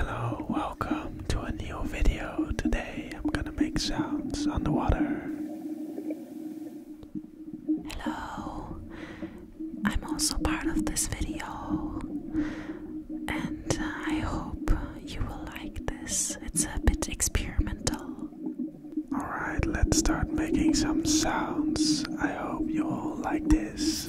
Hello, welcome to a new video. Today I'm gonna make sounds underwater. Hello, I'm also part of this video and uh, I hope you will like this. It's a bit experimental. Alright, let's start making some sounds. I hope you all like this.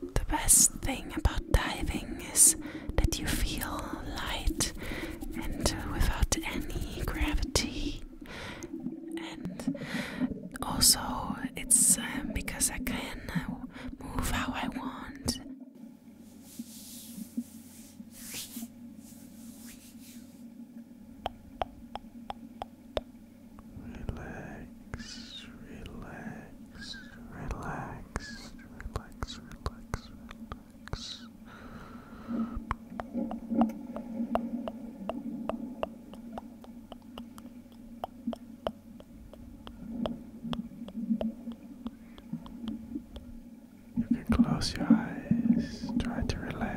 The best thing about diving is that you feel light and without any gravity. And also, it's um, because I can uh, move how I want. Relax, relax, relax, relax, relax, relax. You can close your eyes, try to relax.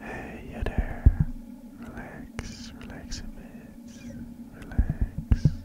Hey, you there. Relax, relax a bit. Relax, relax.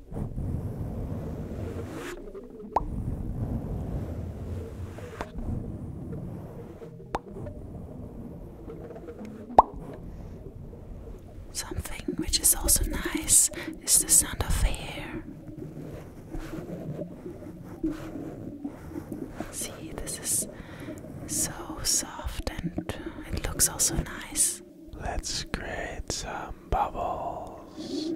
Something which is also nice is the sound of air. See, this is so soft and it looks also nice. Let's create some some bubbles,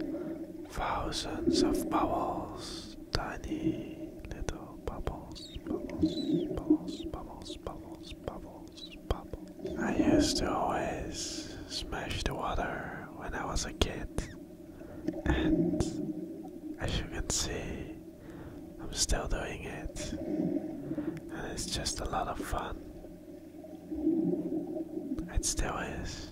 thousands of bubbles, tiny little bubbles, bubbles, bubbles, bubbles, bubbles, bubbles, bubbles. I used to always smash the water when I was a kid, and as you can see, I'm still doing it, and it's just a lot of fun. It still is.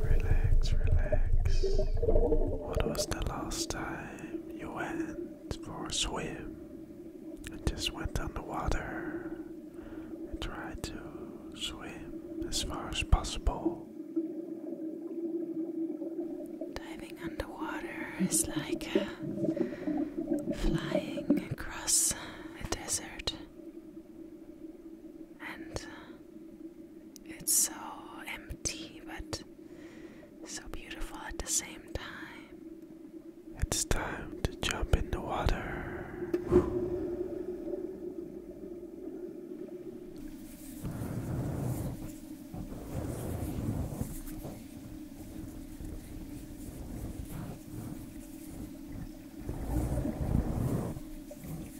Relax, relax. What was the last time you went for a swim and just went underwater and tried to swim as far as possible? Diving underwater is like uh, flying across a desert. And uh, it's so empty, but so beautiful at the same time. It's time to jump in the water.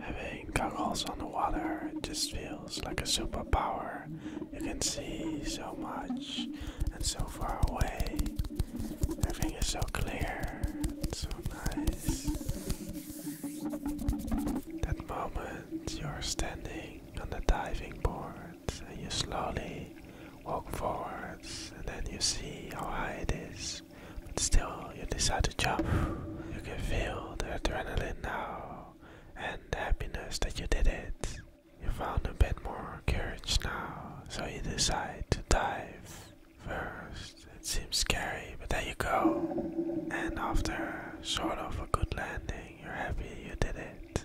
Having goggles on the water it just feels like a superpower. You can see so much and so far away. Everything is so clear and so nice. That moment you're standing on the diving board and you slowly walk forwards and then you see how high it is. But still, you decide to jump. You can feel the adrenaline now and the happiness that you did it. You found a bit more courage now, so you decide to dive. First, it seems scary, but there you go. And after sort of a good landing, you're happy you did it.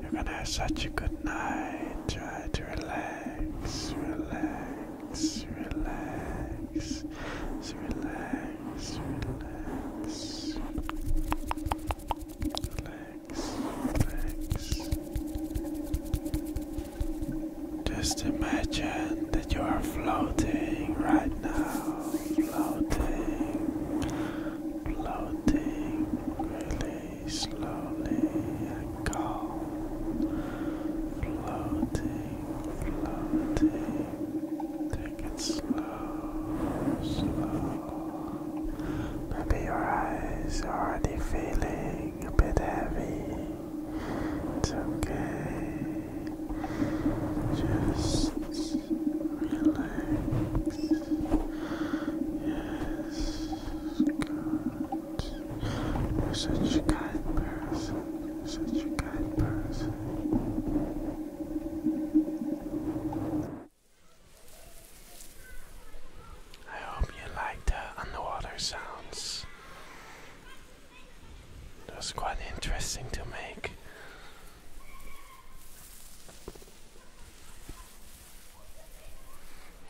You're gonna have such a good night. Try to relax, relax, relax, relax, relax. Relax, relax. Just imagine that you are floating right now, floating, floating really slowly and calm, floating, floating, take it slow, slow. Maybe your eyes are already feeling feeling a bit heavy, it's okay. Just relax. Yes, good. You're such a kind person. such a kind person. I hope you like the underwater sounds. That was quite interesting to make.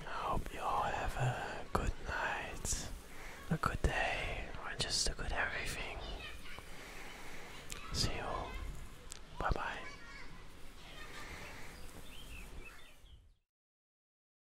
I hope you all have a good night, a good day, or just a good everything. See you. Bye bye.